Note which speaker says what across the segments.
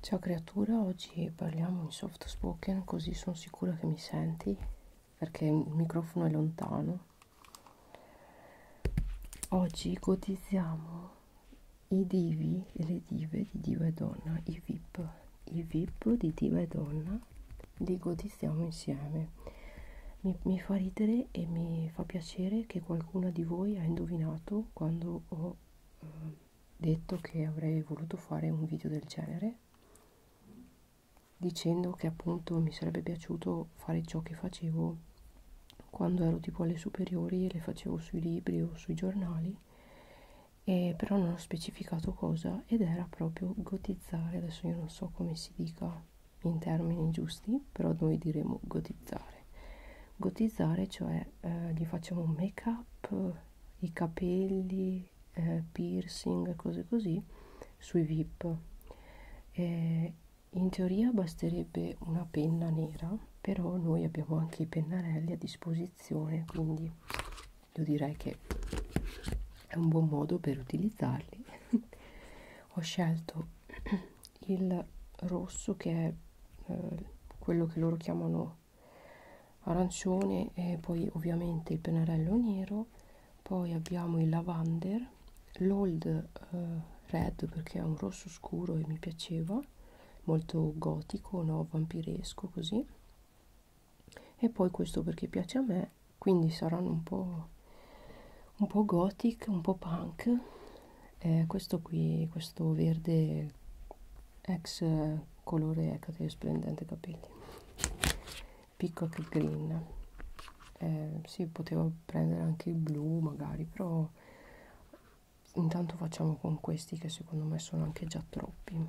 Speaker 1: Ciao creatura, oggi parliamo in soft spoken così sono sicura che mi senti perché il microfono è lontano. Oggi ipotizziamo i divi e le dive di diva e donna, i VIP, i VIP di diva e donna, li godizziamo insieme. Mi, mi fa ridere e mi fa piacere che qualcuno di voi ha indovinato quando ho eh, detto che avrei voluto fare un video del genere dicendo che appunto mi sarebbe piaciuto fare ciò che facevo quando ero tipo alle superiori e le facevo sui libri o sui giornali e però non ho specificato cosa ed era proprio gotizzare adesso io non so come si dica in termini giusti però noi diremo gotizzare gotizzare, cioè eh, gli facciamo un make up, eh, i capelli, eh, piercing, cose così sui VIP. Eh, in teoria basterebbe una penna nera, però noi abbiamo anche i pennarelli a disposizione, quindi io direi che è un buon modo per utilizzarli. Ho scelto il rosso che è eh, quello che loro chiamano arancione e poi ovviamente il pennarello nero poi abbiamo il lavander l'old eh, red perché è un rosso scuro e mi piaceva molto gotico no vampiresco così e poi questo perché piace a me quindi saranno un po' un po' gothic un po' punk eh, questo qui questo verde ex colore ecate splendente capelli peacock green eh, si sì, poteva prendere anche il blu magari però intanto facciamo con questi che secondo me sono anche già troppi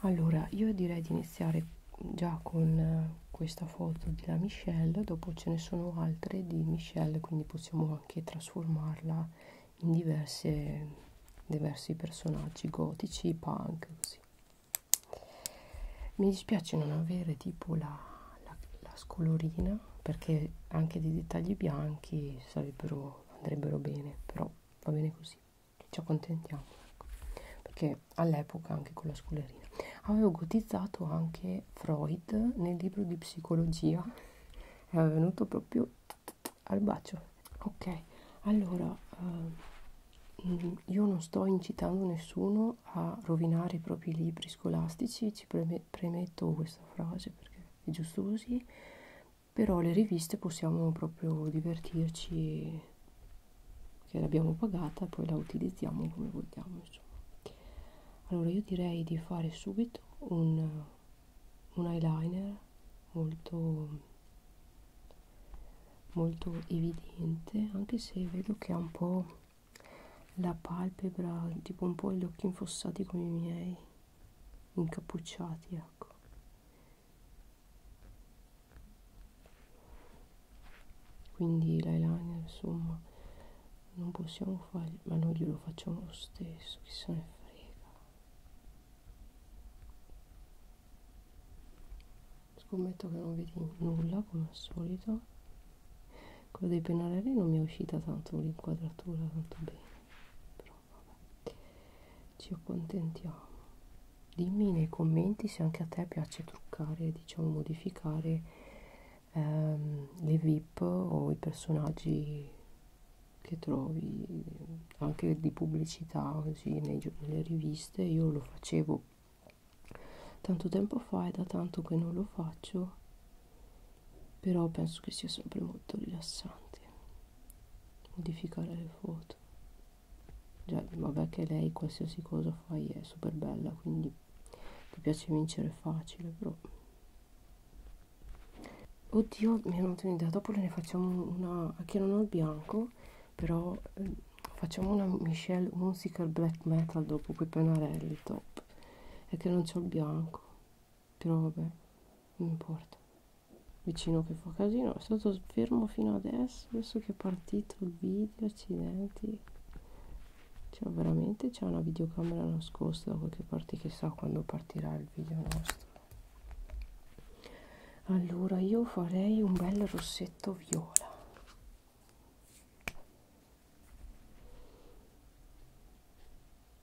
Speaker 1: allora io direi di iniziare già con questa foto della michelle dopo ce ne sono altre di michelle quindi possiamo anche trasformarla in diverse, diversi personaggi gotici, punk, così. Mi dispiace non avere tipo la, la, la scolorina, perché anche dei dettagli bianchi sarebbero, andrebbero bene, però va bene così, ci accontentiamo, ecco. perché all'epoca anche con la scolerina avevo gotizzato anche che Freud nel libro di psicologia era venuto proprio al bacio. Ok, allora eh, io non sto incitando nessuno a rovinare i propri libri scolastici, ci preme premetto questa frase perché è giusto così, però le riviste possiamo proprio divertirci che l'abbiamo pagata e poi la utilizziamo come vogliamo insomma allora io direi di fare subito un, un eyeliner molto molto evidente anche se vedo che ha un po' la palpebra tipo un po' gli occhi infossati come i miei incappucciati ecco quindi l'eyeliner insomma non possiamo fargli ma noi glielo facciamo lo stesso chi se ne frega scommetto che non vedi nulla come al solito quello dei pennarelli non mi è uscita tanto l'inquadratura tanto bene però vabbè ci accontentiamo dimmi nei commenti se anche a te piace truccare diciamo modificare ehm, le VIP o i personaggi che trovi ehm, anche di pubblicità così nei, nelle riviste io lo facevo tanto tempo fa è da tanto che non lo faccio però penso che sia sempre molto rilassante modificare le foto già vabbè che lei qualsiasi cosa fai è super bella quindi ti piace vincere facile però Oddio, mi è venuta un'idea, dopo ne facciamo una, che non ho il bianco, però eh, facciamo una Michelle Musical Black Metal dopo quei pennarelli, top. È che non c'ho il bianco, però vabbè, non importa. Vicino che fa casino, è stato fermo fino adesso, adesso che è partito il video, accidenti cioè veramente c'è una videocamera nascosta da qualche parte chissà quando partirà il video nostro allora io farei un bel rossetto viola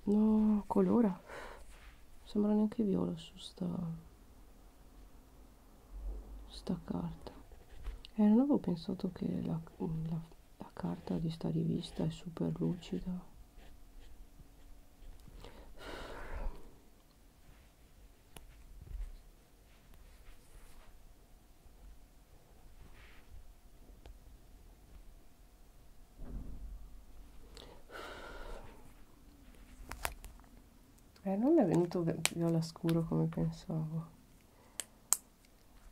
Speaker 1: no colora sembra neanche viola su sta sta carta e eh, non avevo pensato che la, la la carta di sta rivista è super lucida eh, non è venuto viola scuro come pensavo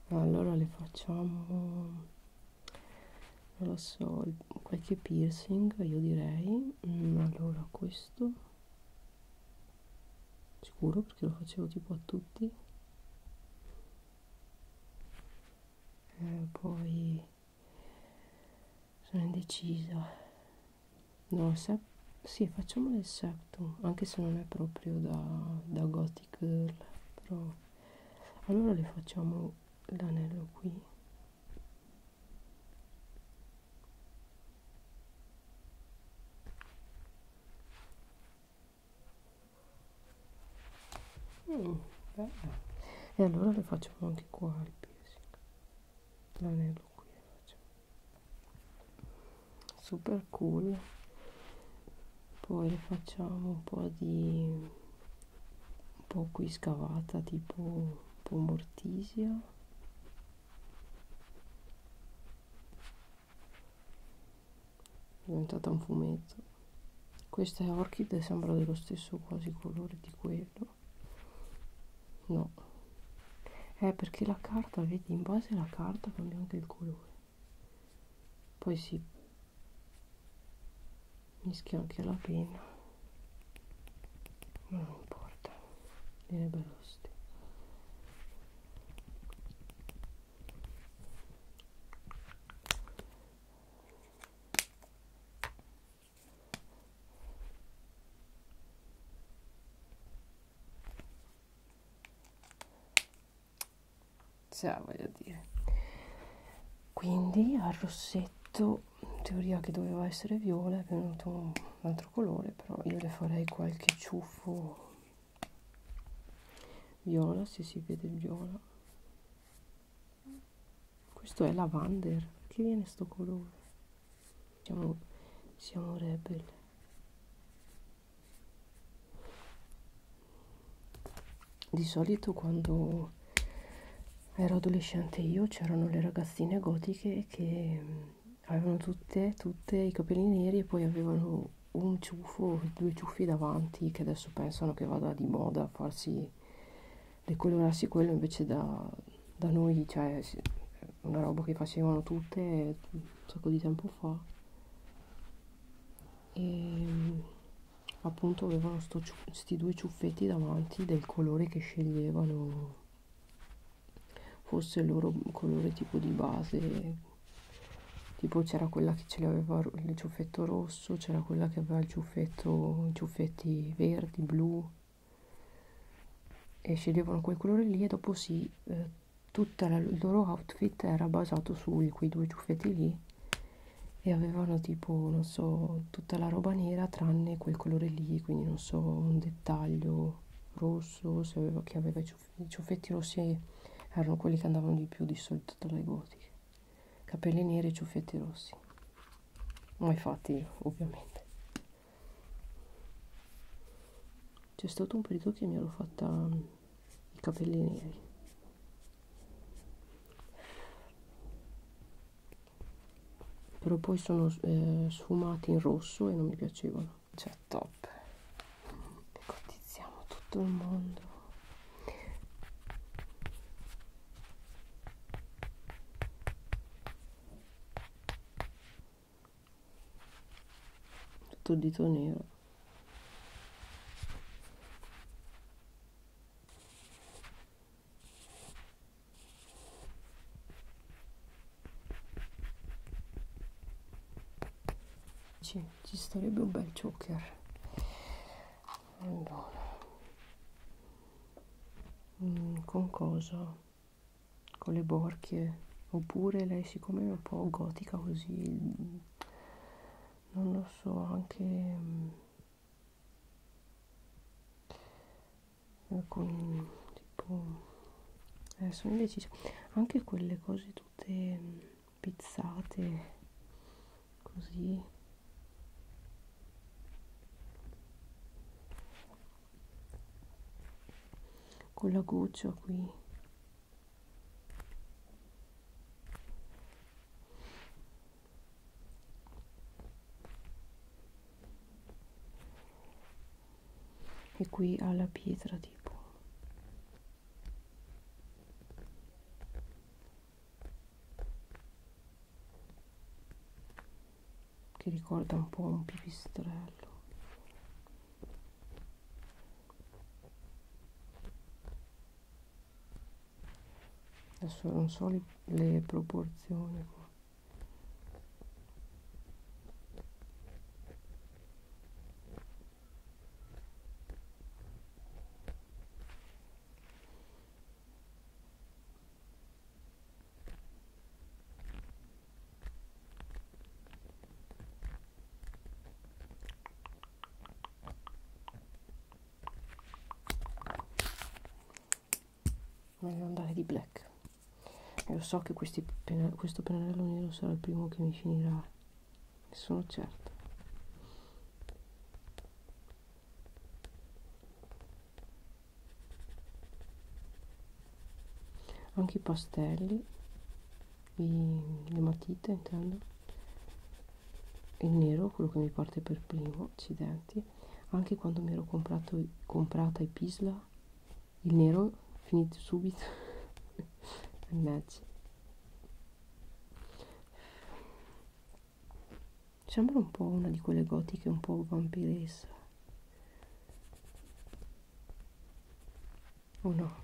Speaker 1: ma allora le facciamo non lo so qualche piercing io direi mm, allora questo sicuro perché lo facevo tipo a tutti e eh, poi sono indecisa no se sì facciamolo il septum anche se non è proprio da, da gothic girl però allora le facciamo l'anello qui mm, e allora le facciamo anche qua il piercing l'anello qui le facciamo super cool poi le facciamo un po' di un po' qui scavata tipo un po' mortisia è diventata un fumetto questa è orchid sembra dello stesso quasi colore di quello no è eh, perché la carta vedi in base alla carta cambia anche il colore poi si mischia anche la penna ma non importa viene bello lo stesso cioè voglio dire quindi al rossetto in teoria che doveva essere viola è venuto un altro colore però io le farei qualche ciuffo viola se si vede viola questo è lavander perché viene sto colore siamo, siamo rebel di solito quando ero adolescente io c'erano le ragazzine gotiche che mm, avevano tutte, tutte i capelli neri e poi avevano un ciuffo, due ciuffi davanti che adesso pensano che vada di moda a farsi decolorarsi quello invece da, da noi, cioè una roba che facevano tutte un sacco di tempo fa e appunto avevano questi due ciuffetti davanti del colore che sceglievano fosse il loro colore tipo di base tipo c'era quella che ce l'aveva il ciuffetto rosso c'era quella che aveva il ciuffetto i ciuffetti verdi blu e sceglievano quel colore lì e dopo sì eh, tutto il loro outfit era basato su quei due ciuffetti lì e avevano tipo non so tutta la roba nera tranne quel colore lì quindi non so un dettaglio rosso se aveva, chi aveva i, ciuff i ciuffetti rossi erano quelli che andavano di più di solito dalle gotiche capelli neri e ciuffetti rossi mai fatti io, ovviamente c'è stato un periodo che mi ero fatta i capelli neri però poi sono eh, sfumati in rosso e non mi piacevano cioè top cotizziamo tutto il mondo tutto dito nero ci, ci starebbe un bel choker allora mm, con cosa con le borchie oppure lei siccome è un po' gotica così non lo so anche um, alcuni tipo eh, sono indecisa anche quelle cose tutte um, pizzate così con la goccia qui e qui alla pietra tipo che ricorda un po' un pipistrello adesso non so le, le proporzioni qua meglio andare di black io so che questi pena, questo pennarello nero sarà il primo che mi finirà ne sono certa anche i pastelli i, le matite intendo il nero quello che mi parte per primo accidenti anche quando mi ero comprato, comprata i pisla il nero finito subito mannaggia sembra un po' una di quelle gotiche un po' vampiressa o oh no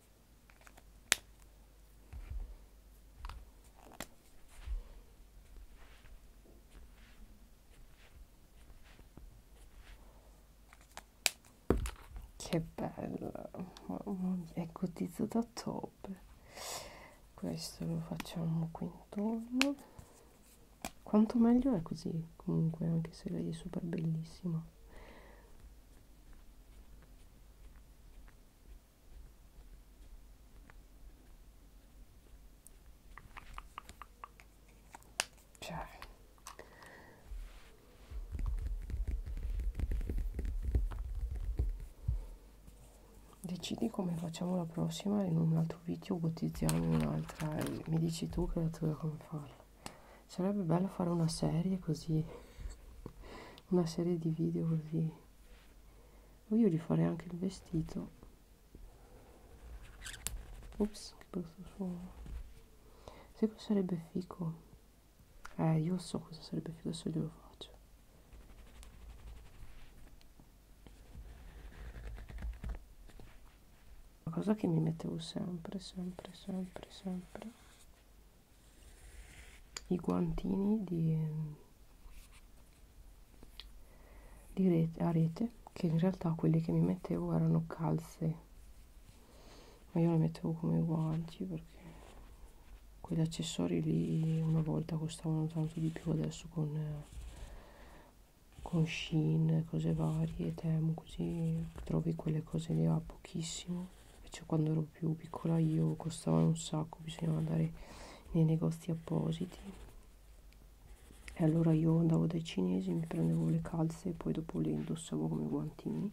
Speaker 1: Che bello, è cotizzato da top. Questo lo facciamo qui intorno. Quanto meglio è così, comunque, anche se lei è super bellissima. Cioè. Decidi come facciamo la prossima in un altro video gotizziamo un'altra e mi dici tu che la tua come farla. Sarebbe bello fare una serie così una serie di video così io rifarei anche il vestito ops che brutto suono se cosa sarebbe fico eh io so cosa sarebbe fico se glielo faccio una cosa che mi mettevo sempre sempre sempre sempre i guantini di, di rete, a rete che in realtà quelli che mi mettevo erano calze ma io le mettevo come guanti perché quegli accessori lì una volta costavano tanto di più adesso con eh, con Shein, cose varie, temo così trovi quelle cose lì a pochissimo invece cioè, quando ero più piccola io costavano un sacco bisognava andare nei negozi appositi e allora io andavo dai cinesi mi prendevo le calze e poi dopo le indossavo come guantini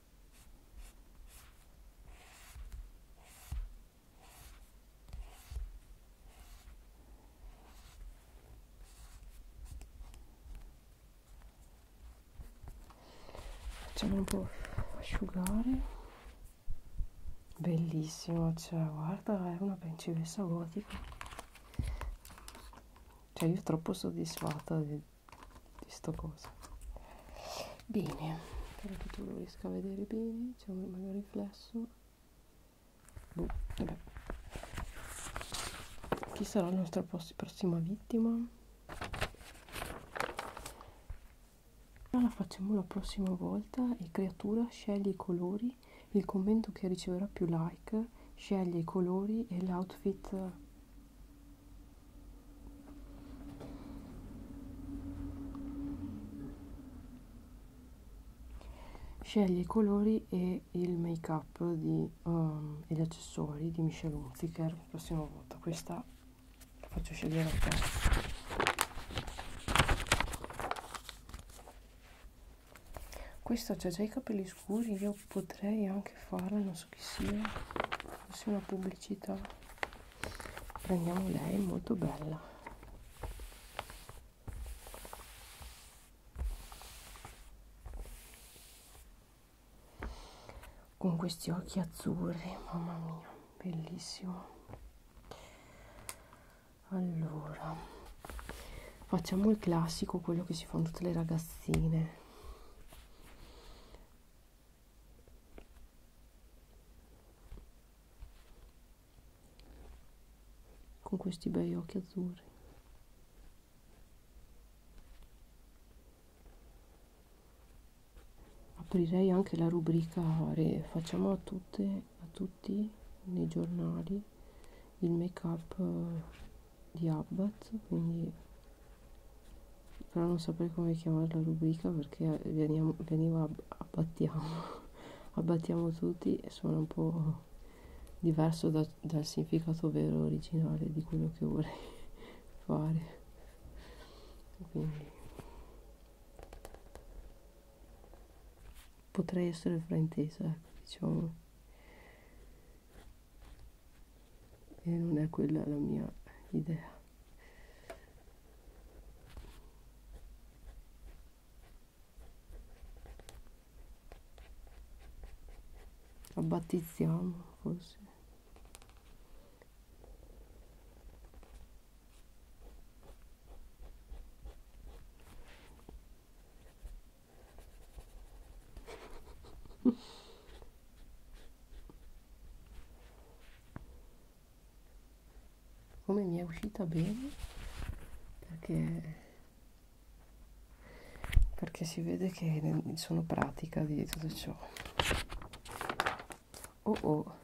Speaker 1: facciamolo un po' asciugare bellissimo cioè guarda è una principessa gotica cioè io troppo soddisfatta di di sto coso bene spero che tu lo riesca a vedere bene c'è un meglio riflesso boh, vabbè. chi sarà la nostra prossima vittima la facciamo la prossima volta e creatura scegli i colori il commento che riceverà più like sceglie i colori e l'outfit Scegli i colori e il make up di, um, e gli accessori di Michelle Hunziker la prossima volta. Questa la faccio scegliere a te. Questa c'ha già i capelli scuri, io potrei anche farla, non so chi sia, forse una pubblicità prendiamo lei molto bella con questi occhi azzurri mamma mia bellissimo allora facciamo il classico quello che si fanno tutte le ragazzine con questi bei occhi azzurri aprirei anche la rubrica facciamo a tutte a tutti nei giornali il make up eh, di Abbat quindi però non saprei come chiamare la rubrica perché eh, veniamo, veniva abbattiamo abbattiamo tutti e suona un po' diverso da, dal significato vero originale di quello che vorrei fare quindi potrei essere fraintesa ecco, diciamo e non è quella la mia idea lo battezziamo forse. come mi è uscita bene perché perché si vede che sono pratica di tutto ciò oh oh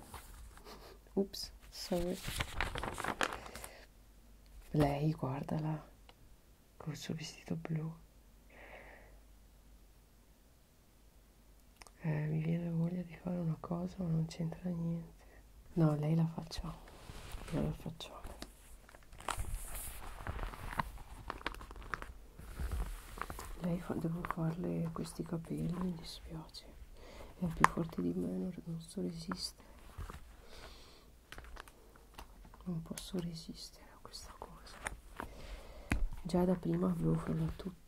Speaker 1: ups sorry lei guardala col suo vestito blu eh, mi viene voglia di fare una cosa ma non c'entra niente no lei la facciamo io la facciamo lei fa, devo farle questi capelli mi dispiace è più forte di me non, non so resistere non posso resistere a questa cosa già da prima avevo freddo a tutti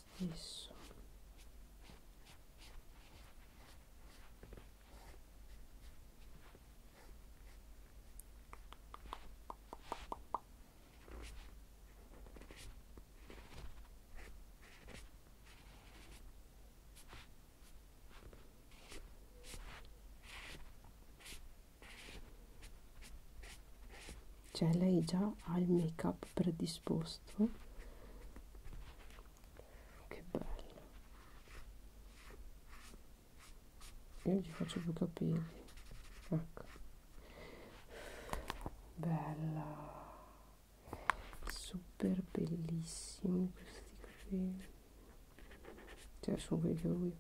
Speaker 1: stesso cioè lei già ha il make up predisposto che bello io non ci faccio più capelli ecco bella super bellissimi questi capelli cioè sono quelli che lui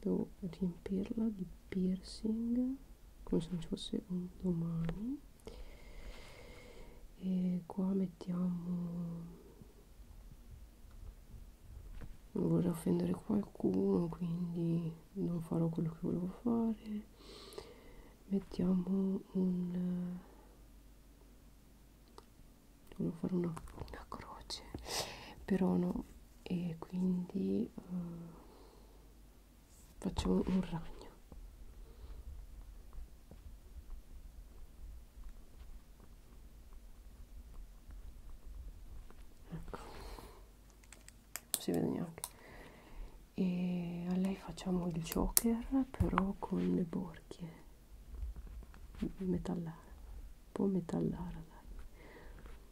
Speaker 1: devo riempirla di piercing come se non ci fosse un domani e qua mettiamo non vorrei offendere qualcuno quindi non farò quello che volevo fare mettiamo un volevo fare una, una croce però no e quindi um, faccio un, un ragno ecco non si vede neanche e a lei facciamo il joker però con le borchie metallara un po' metallara dai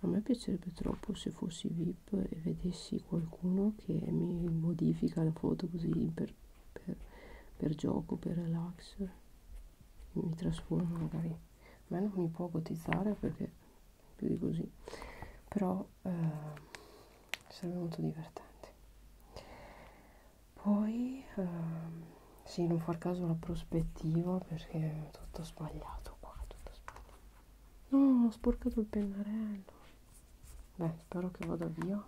Speaker 1: A me piacerebbe troppo se fossi VIP e vedessi qualcuno che mi modifica la foto così per, per, per gioco, per relax, mi trasforma magari. A me non mi può cotizzare perché più di così, però eh, sarebbe molto divertente poi ehm, sì non far caso alla prospettiva perché è tutto sbagliato qua tutto sbagliato no ho sporcato il pennarello beh spero che vada via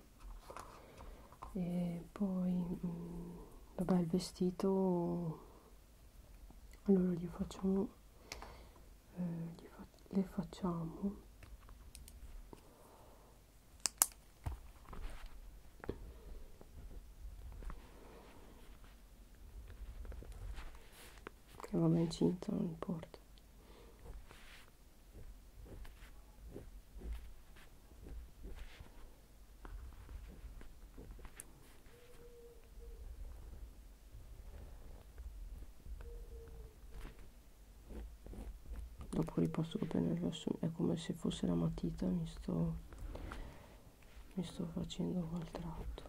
Speaker 1: e poi mh, mm, vabbè il vestito allora gli facciamo eh, fa le facciamo che va ben incinta non importa dopo riposto con pennello rosso è come se fosse la matita mi sto, mi sto facendo quel tratto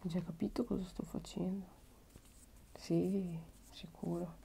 Speaker 1: Hai già capito cosa sto facendo? Sì, sicuro.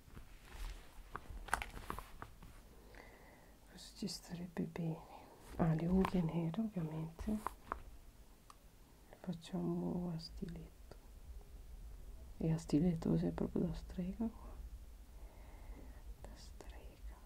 Speaker 1: questo ci starebbe bene ah le unghie nere ovviamente le facciamo a stiletto e a stiletto cos'è proprio da strega qua da strega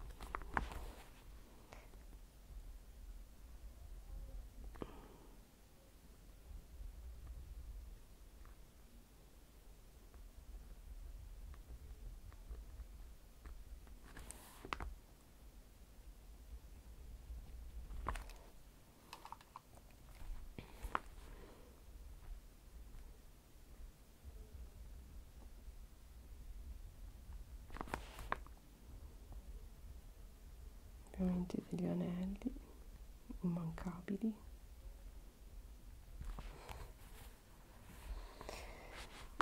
Speaker 1: ovviamente degli anelli immancabili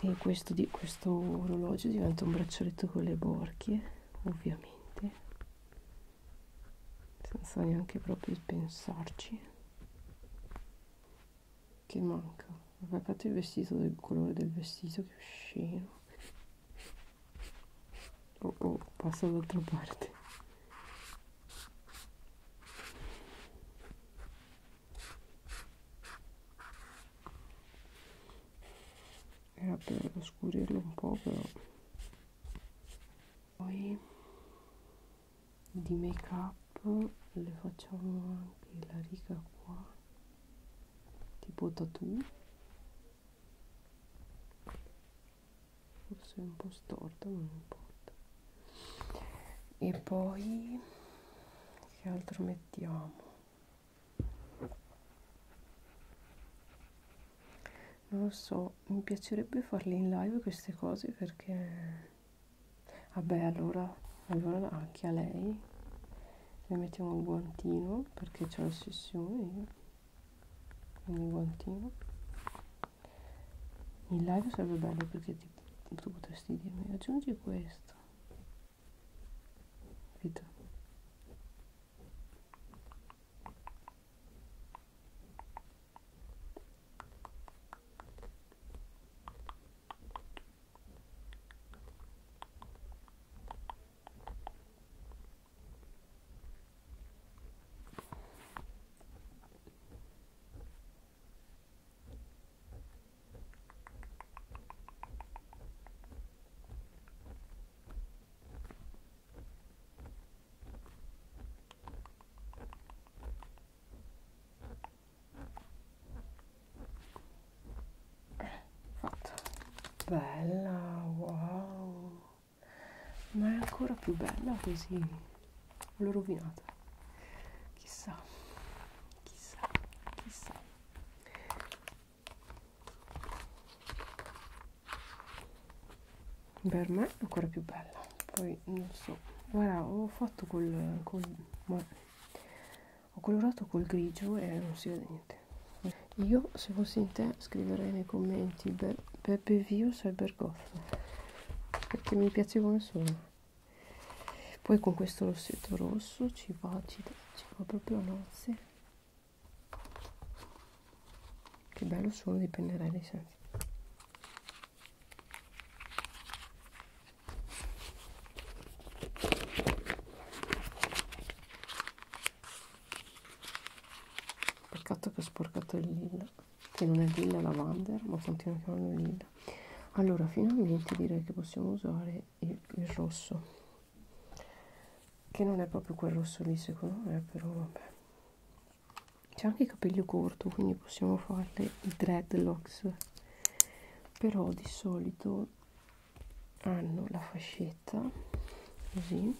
Speaker 1: e questo, di, questo orologio diventa un braccialetto con le borchie ovviamente senza neanche proprio pensarci che manca vabbè fate il vestito del colore del vestito che scemo oh oh passa dall'altra parte era per scurirlo un po' però poi di make up le facciamo anche la riga qua tipo tattoo forse è un po' storto non importa e poi che altro mettiamo non lo so mi piacerebbe farle in live queste cose perché vabbè allora allora anche a lei le mettiamo il guantino perché c'è l'ossessione quindi il guantino in live sarebbe bello perché ti, tu potresti dirmi aggiungi questo capito Fatta. Bella, wow. Ma è ancora più bella così l'ho rovinata chissà chissà chissà per me è ancora più bella poi non so guarda ho fatto col, col ho colorato col grigio e non si vede niente io se fossi in te scriverei nei commenti Be Beppe Vius e Bergoff perché mi piace come sono poi con questo rossetto rosso ci va, ci, ci va proprio a nozze che bello suono di pennarelli senza peccato che ho sporcato il libro che non è Lilla Lavander ma continua a chiamarlo Lilla allora finalmente direi che possiamo usare il, il rosso che non è proprio quel rosso lì secondo me però vabbè c'è anche il capello corto quindi possiamo farle i dreadlocks però di solito hanno la fascetta così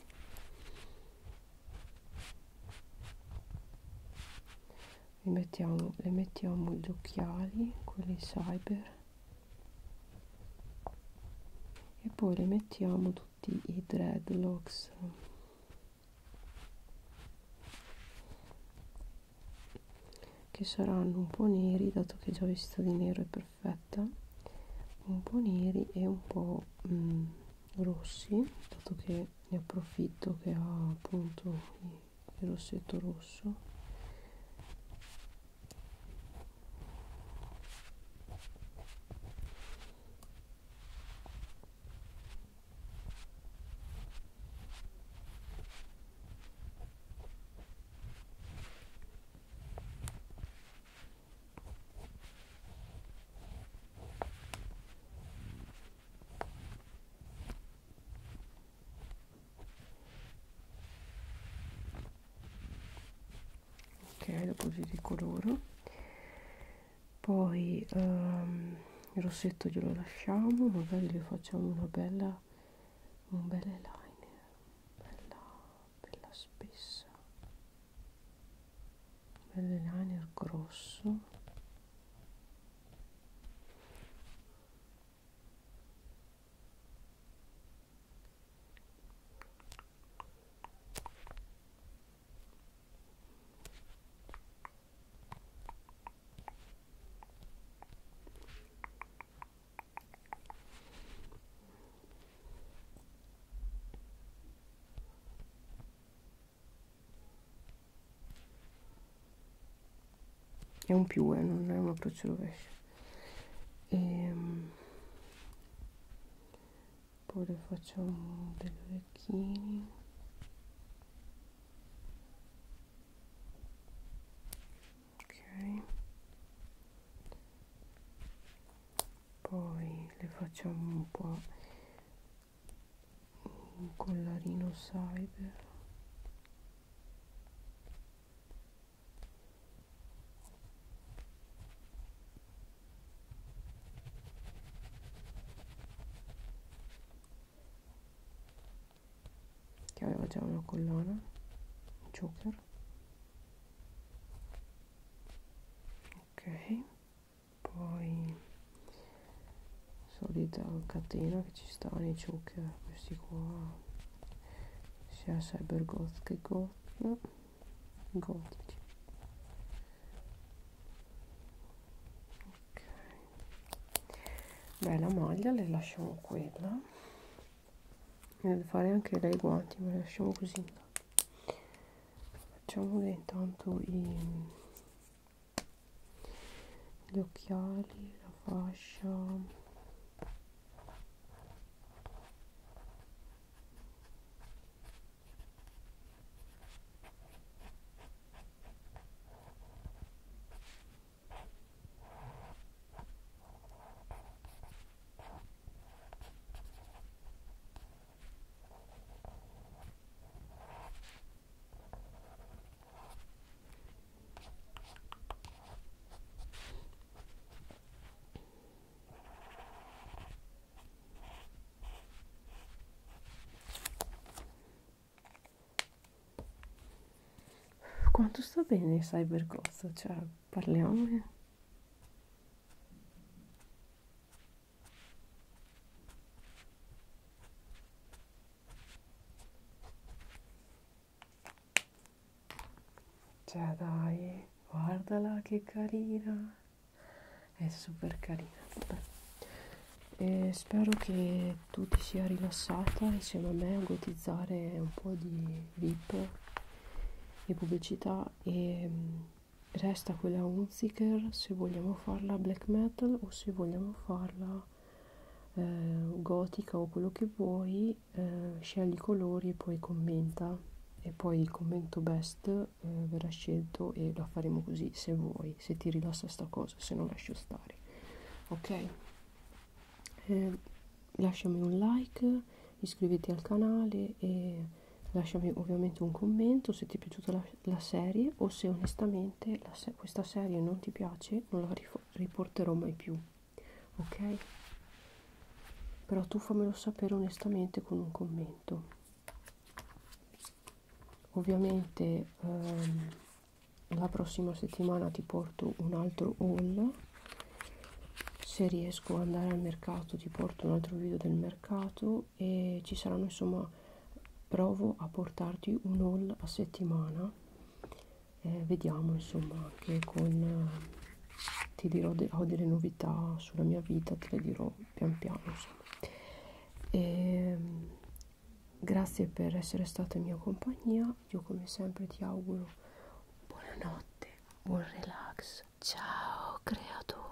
Speaker 1: le mettiamo, le mettiamo gli occhiali quelli cyber e poi le mettiamo tutti i dreadlocks che saranno un po' neri dato che già vista di nero è perfetta un po' neri e un po' mh, mm, rossi dato che ne approfitto che ha appunto il rossetto rosso ok dopo vi ricoloro poi um, il rossetto glielo lasciamo magari le facciamo una bella un bel eyeliner bella bella spessa bell'liner grosso è un più eh, non è un approccio rovescio e ehm, poi le facciamo degli orecchini ok poi le facciamo un po' un collarino cyber che aveva già una collana un joker ok poi solita catena che ci sta nei choke questi qua sia cyber goth che goth gotici ok beh la maglia le lasciamo quella deve fare anche lei guanti ma le lasciamo così facciamo intanto i gli occhiali, la fascia quanto sta bene il cybercost? Cioè, parliamone. Cioè dai, guardala che carina, è super carina. E spero che tu ti sia rilassata insieme a me a gotizzare un po' di VIP e pubblicità e mm, resta quella Unziker se vogliamo farla black metal o se vogliamo o farla eh, gotica o quello che vuoi, eh, scegli i colori e poi commenta e poi il commento best eh, verrà scelto e la faremo così se vuoi, se ti rilassa sta cosa, se no lascio stare. Ok? Eh, lasciami un like, iscriviti al canale e lasciami ovviamente un commento se ti è piaciuta la, la serie o se onestamente la se questa serie non ti piace non la riporterò mai più ok però tu fammelo sapere onestamente con un commento ovviamente ehm, la prossima settimana ti porto un altro haul se riesco ad andare al mercato ti porto un altro video del mercato e ci saranno insomma provo a portarti un haul a settimana eh, vediamo insomma anche con eh, ti dirò de ho delle novità sulla mia vita te le dirò pian piano insomma. E, ehm, grazie per essere stata in mia compagnia io come sempre ti auguro buonanotte buon relax ciao creatura